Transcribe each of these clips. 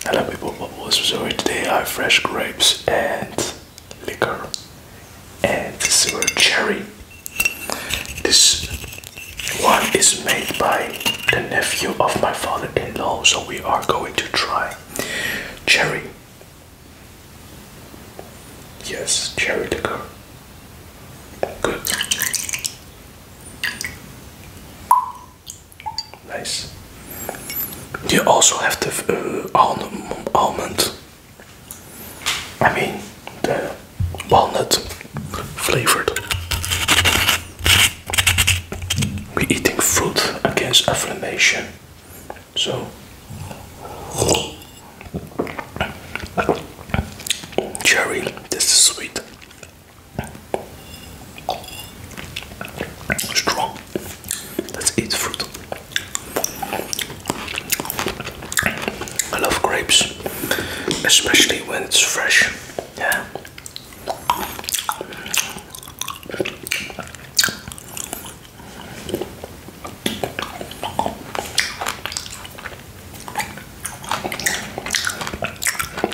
Hello people, Bubbles. So today I have fresh grapes and liquor and this is cherry. This one is made by the nephew of my father-in-law, so we are going to try cherry. Yes, cherry liquor. Good. Nice. You also have the uh, almond. I mean the walnut flavored. We're eating fruit against inflammation, So cherry, this is sweet. Strong. Let's eat fruit. I love grapes, especially when it's fresh.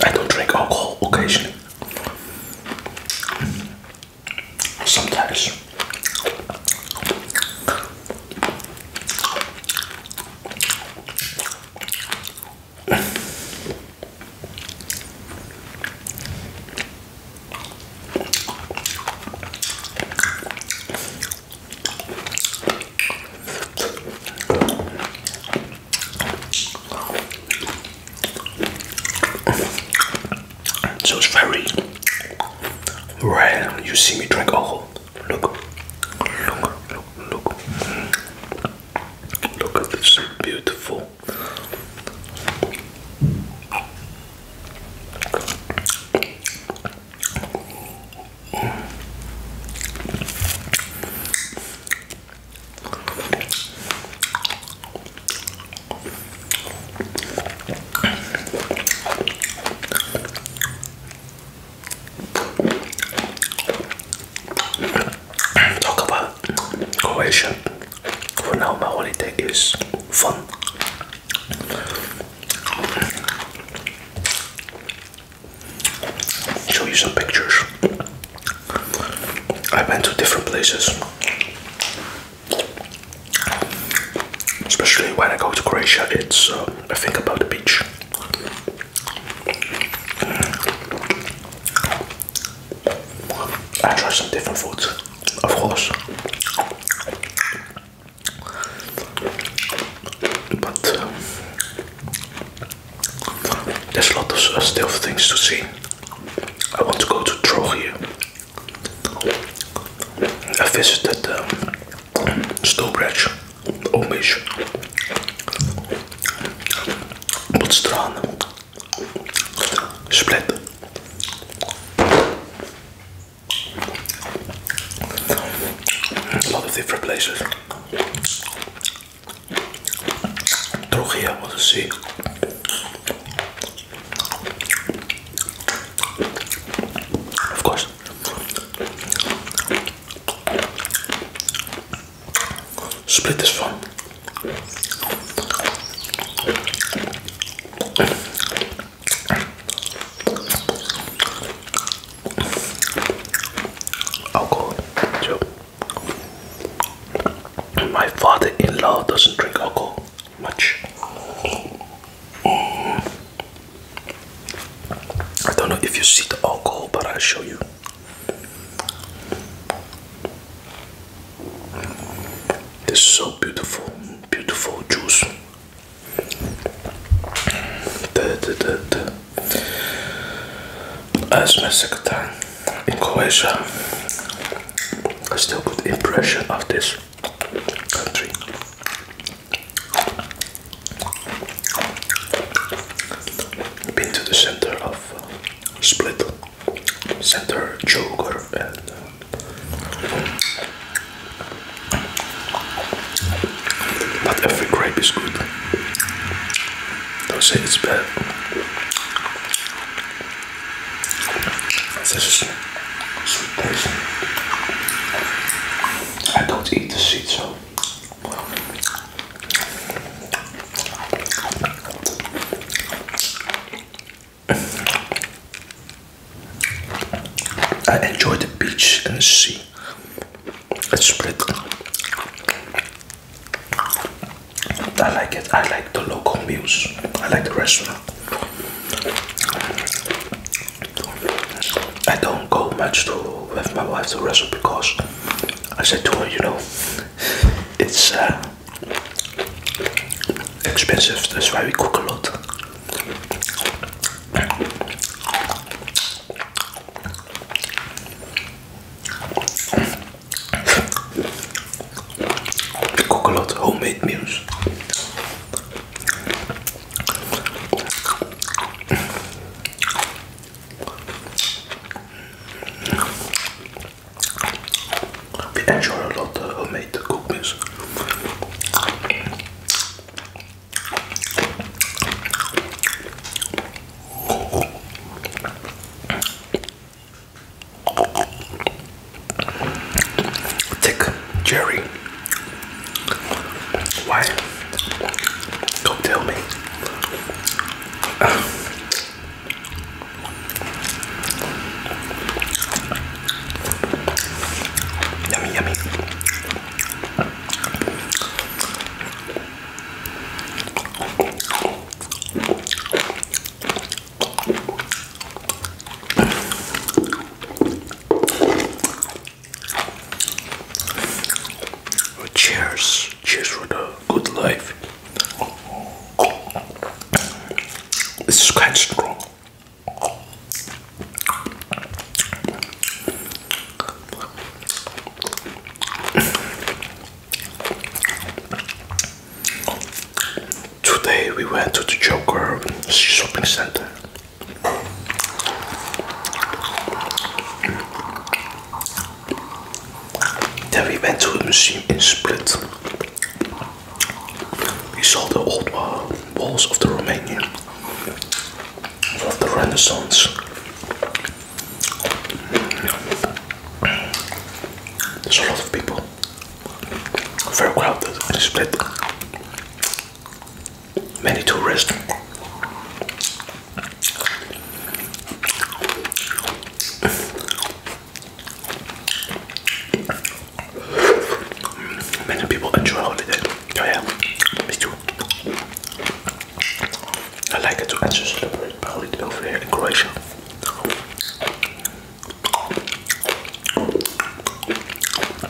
I don't drink alcohol occasionally. Sometimes. So it's very rare you see me drink alcohol. Look, look, look, look. Look at this, beautiful. Talk about Croatia. For now, my holiday is fun. Show you some pictures. I went to different places, especially when I go to Croatia. It's uh, I think about the beach. Mm. I tried some different foods, of course, but uh, there's a lot of stuff, uh, still things to see. I want to go to Trogir. I visited um, Stobridge, Omish, Botstraan, Split, a lot of different places. Trogea was a sea. Of course, Split this fun. Alcohol, My father-in-law doesn't drink alcohol much. I don't know if you see the alcohol, but i show you. It's so beautiful, beautiful juice. The, the, the, As my second time in Croatia, I still good impression of this country. Been to the center of uh, Split, center Joker, and uh, not every grape is good. Don't say it's bad. This is sweet I don't eat the seeds, so I enjoy the beach and the sea. It's spread. I like it. I like the local meals. I like the restaurant. I don't go much to with my wife to wrestle because I said to her, you know, it's uh, expensive. That's why we cook a lot. cook a lot homemade meals. We enjoy a lot of made cookies. Thick, Jerry. Why? Don't tell me. yummy, yummy. Oh, cheers, cheers for the good life. This is quite strong. Today we went to the Joker shopping center. Then we went to a museum in Split. We saw the old walls of the Romanian, of the Renaissance. There's a lot of people. Very crowded Split many tourists. Many people enjoy holiday. Oh yeah, me too. I like to enjoy celebrate holiday over here in Croatia.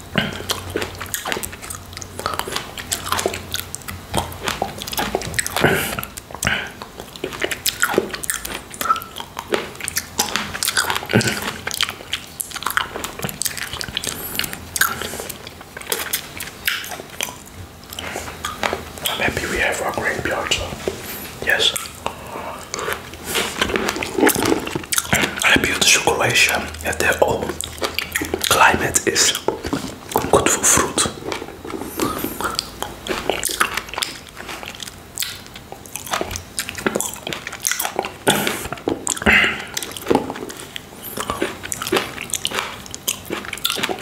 I'm happy we have our grain pizza. Yes. I abuse the situation at their own Climate is goed voor fruit.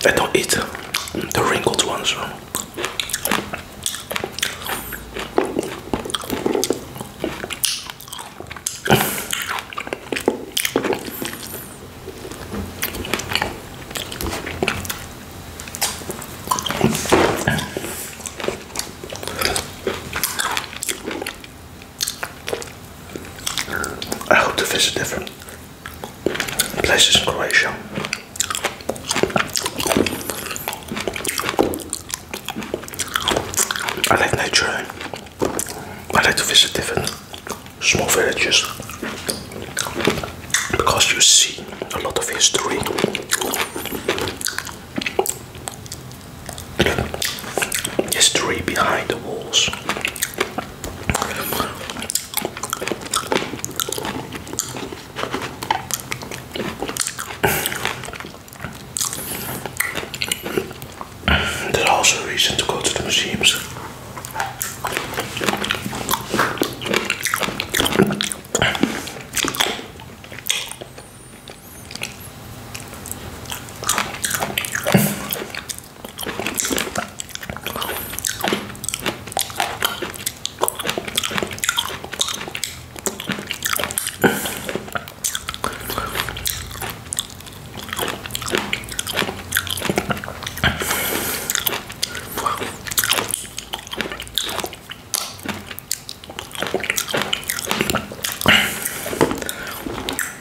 I don't eat the wrinkled ones. I hope to visit different places in Croatia. I like nature. I like to visit different small villages because you see a lot of history. History behind the walls. There's also a reason to go to the museums.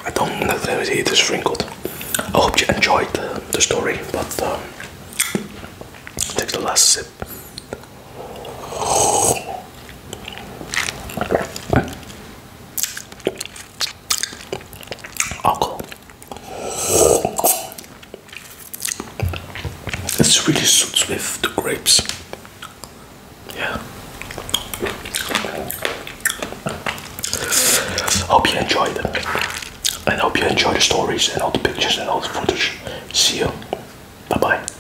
I don't know if it is sprinkled. I hope you enjoyed the, story, but um, take the last sip. Alcohol. This really suits with the grapes. Yeah. Hope you enjoyed it. And hope you enjoy the stories and all the pictures and all the footage. See you. Bye bye.